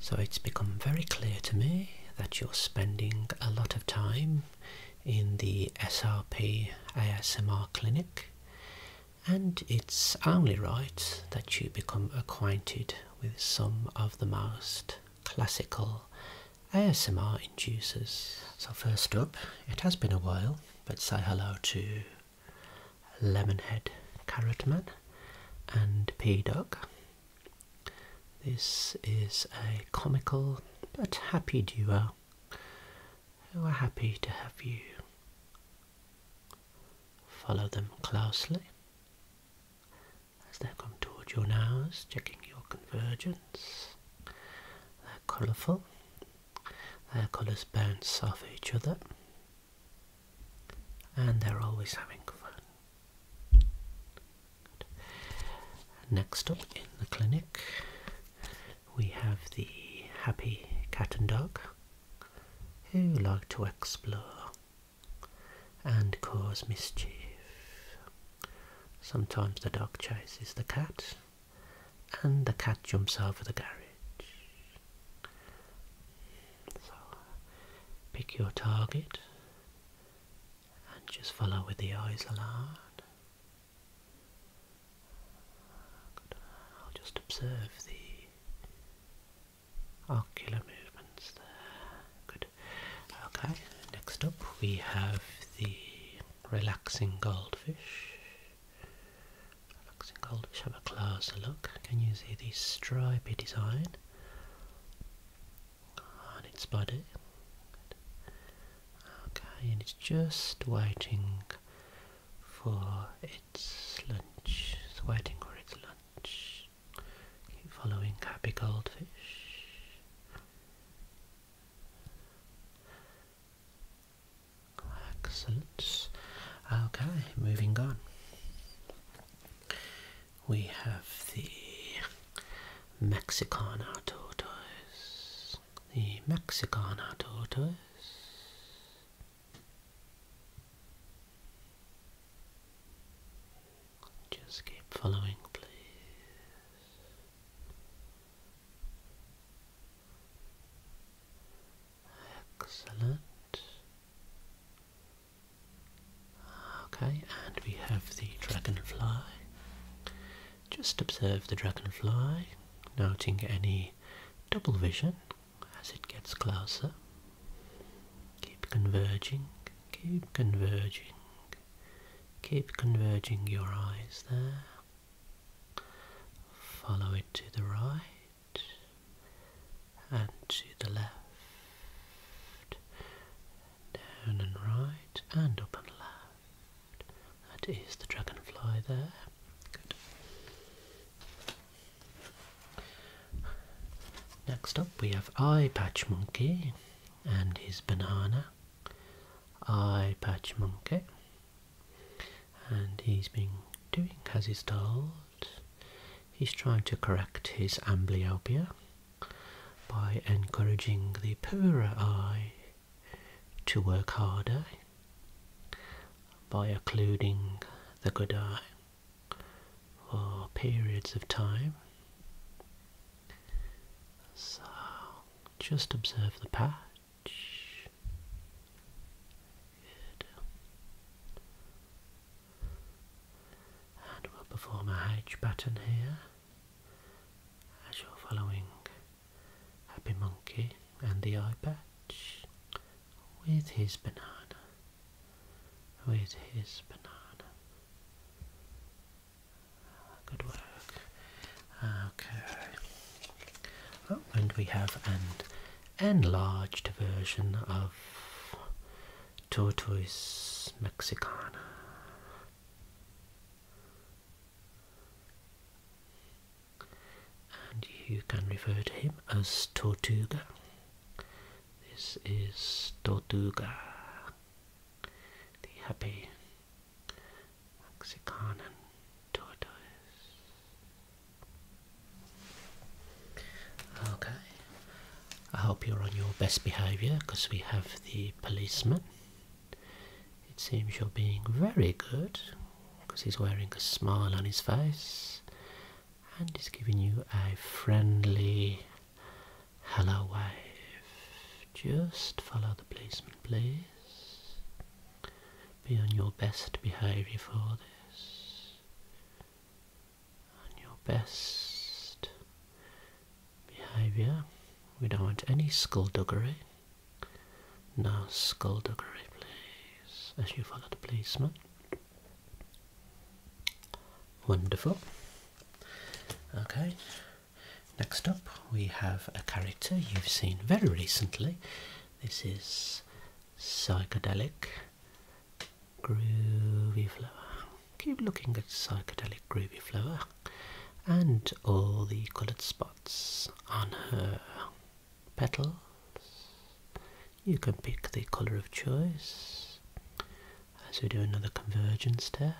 So it's become very clear to me that you're spending a lot of time in the SRP ASMR clinic, and it's only right that you become acquainted with some of the most classical ASMR inducers. So, first up, it has been a while, but say hello to Lemonhead Carrotman and P Dog. This is a comical but happy duo who are happy to have you follow them closely as they come towards your nose, checking your convergence. They're colourful, their colours bounce off each other and they're always having fun. Next up in the clinic, we have the happy cat and dog who like to explore and cause mischief. Sometimes the dog chases the cat and the cat jumps over the garage. So pick your target and just follow with the eyes alone. Good. I'll just observe the ocular movements there. Good. Okay, next up we have the relaxing goldfish. Relaxing cold. Let's have a closer look. Can you see the stripy design on its body? Okay, and it's just waiting for its lunch. It's waiting for its lunch. Keep following happy goldfish. Excellent. Okay, moving on. We have the Mexicana tortoise. The Mexicana tortoise. Just keep following, please. Excellent. Okay, and we have the dragonfly. Just observe the dragonfly, noting any double vision as it gets closer. Keep converging, keep converging, keep converging your eyes there. Follow it to the right and to the left, down and right, and up and left. That is the dragonfly there. Good. Next up we have Eye Patch Monkey and his banana. Eye Patch Monkey and he's been doing as he's told. He's trying to correct his amblyopia by encouraging the poorer eye to work harder by occluding the good eye for periods of time. So just observe the path touch. Good. And we'll perform a H pattern here as you're following Happy Monkey and the eye patch with his banana. With his banana. Good work. Okay. and we have an enlarged version of Tortoise Mexicana. And you can refer to him as Tortuga. This is Tortuga, the happy Oxycontin tortoise. Okay, I hope you're on your best behavior because we have the policeman. It seems you're being very good because he's wearing a smile on his face and he's giving you a friendly hello wave. Just follow the policeman, please. Be on your best behaviour for this. On your best behaviour. We don't want any skullduggery. No skullduggery, please, as you follow the policeman. Wonderful. Okay, Next up, we have a character you've seen very recently. This is Psychedelic Groovy Flower. Keep looking at Psychedelic Groovy Flower and all the coloured spots on her petals. You can pick the colour of choice as we do another convergence test.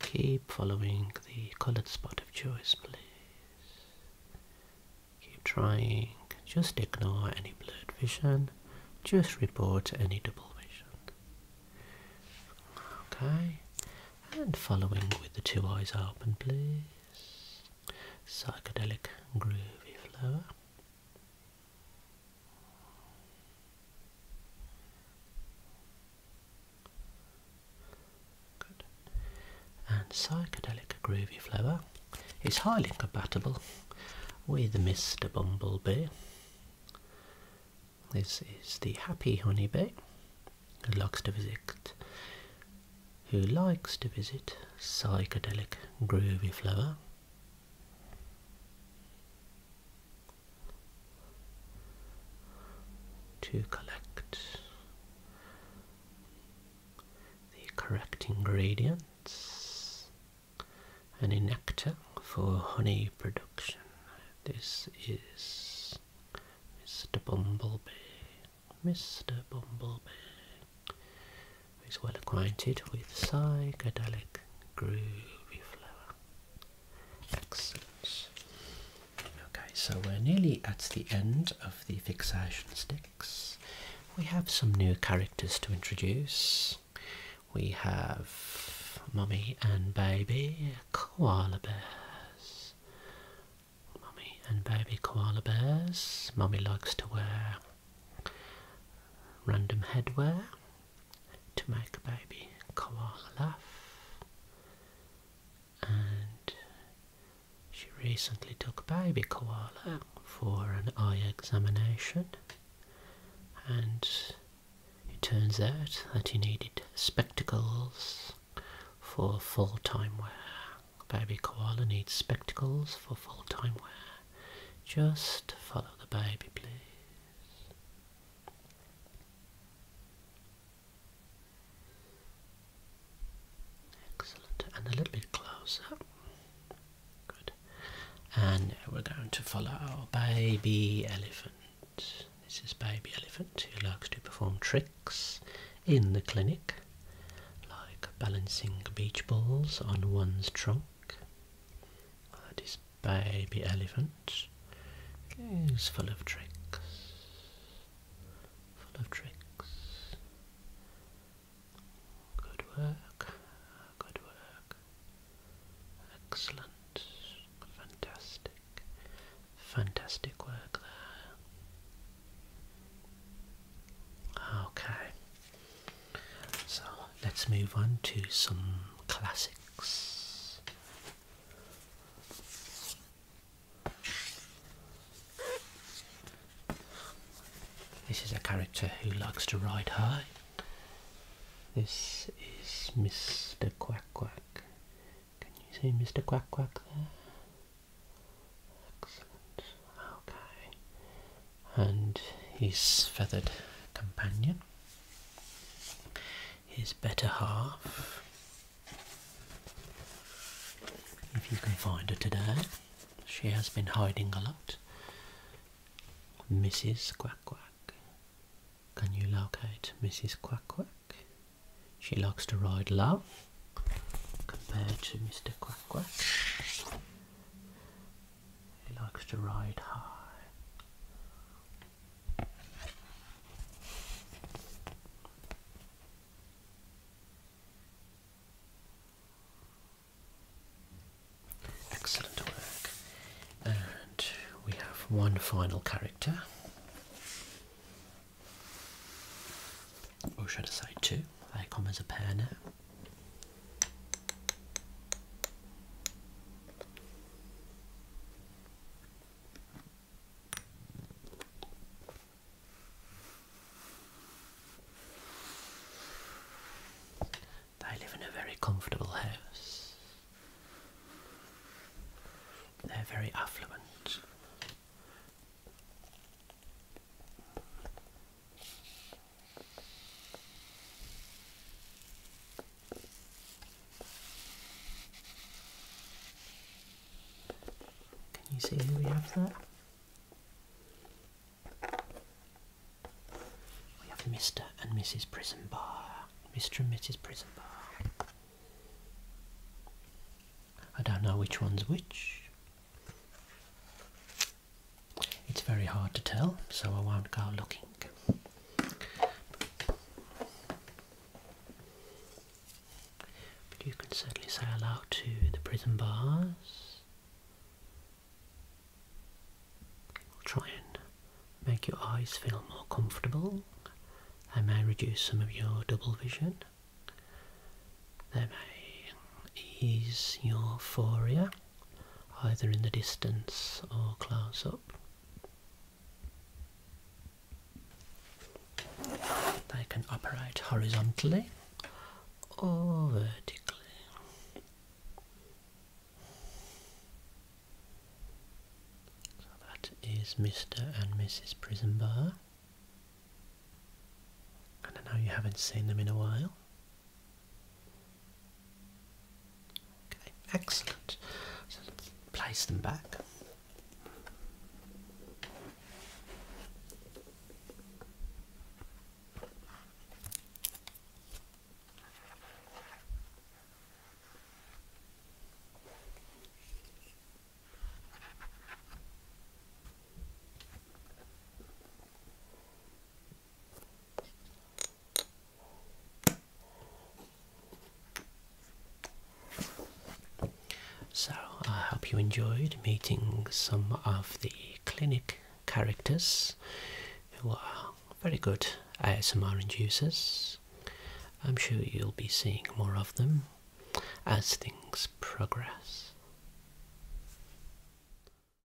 Keep following the colored spot of choice, please. Keep trying. Just ignore any blurred vision. Just report any double vision. Okay. And following with the two eyes open, please. Psychedelic groovy flower. And psychedelic groovy flower is highly compatible with Mr. Bumblebee. This is the happy honeybee who likes to visit who likes to visit psychedelic groovy flower to collect the correct ingredients and a nectar for honey production. This is Mr. Bumblebee. Mr. Bumblebee is well acquainted with psychedelic groovy flower. Excellent. Okay, so we're nearly at the end of the fixation sticks. We have some new characters to introduce. We have mommy and Baby Koala Bears. Mommy and Baby Koala Bears. Mommy likes to wear random headwear to make a baby koala laugh. And she recently took baby koala for an eye examination, and it turns out that he needed spectacles for full time wear. Baby koala needs spectacles for full time wear. Just follow the baby, please. Excellent, and a little bit closer. Good. And we're going to follow our baby elephant. This is baby elephant who likes to perform tricks in the clinic, like balancing beach balls on one's trunk baby elephant is full of tricks, full of tricks. Good work, good work. Excellent, fantastic, fantastic work there. Okay, so let's move on to some classics. This is a character who likes to ride high. This is Mr. Quack Quack. Can you see Mr. Quack Quack there? Excellent. Okay. And his feathered companion his better half. If you can find her today, she has been hiding a lot. Mrs. Quack Quack. Can you locate Mrs. Quack Quack? She likes to ride low compared to Mr. Quack Quack. He likes to ride high. Excellent work. And we have one final character. Or should I say two? They come as a pair now. They live in a very comfortable house. They're very affluent. Can you see who we have there? We have Mr. and Mrs. Prison Bar. Mr. and Mrs. Prison Bar. I don't know which one's which. It's very hard to tell, so I won't go looking. But you can certainly say hello to the prison bars. We'll try and make your eyes feel more comfortable. They may reduce some of your double vision. They may ease your foria either in the distance or close up. They can operate horizontally or vertically. So that is Mr. and Mrs. Prison Bar. And I know you haven't seen them in a while. Okay, excellent. So let's place them back. So, I hope you enjoyed meeting some of the clinic characters who are very good ASMR inducers. I'm sure you'll be seeing more of them as things progress.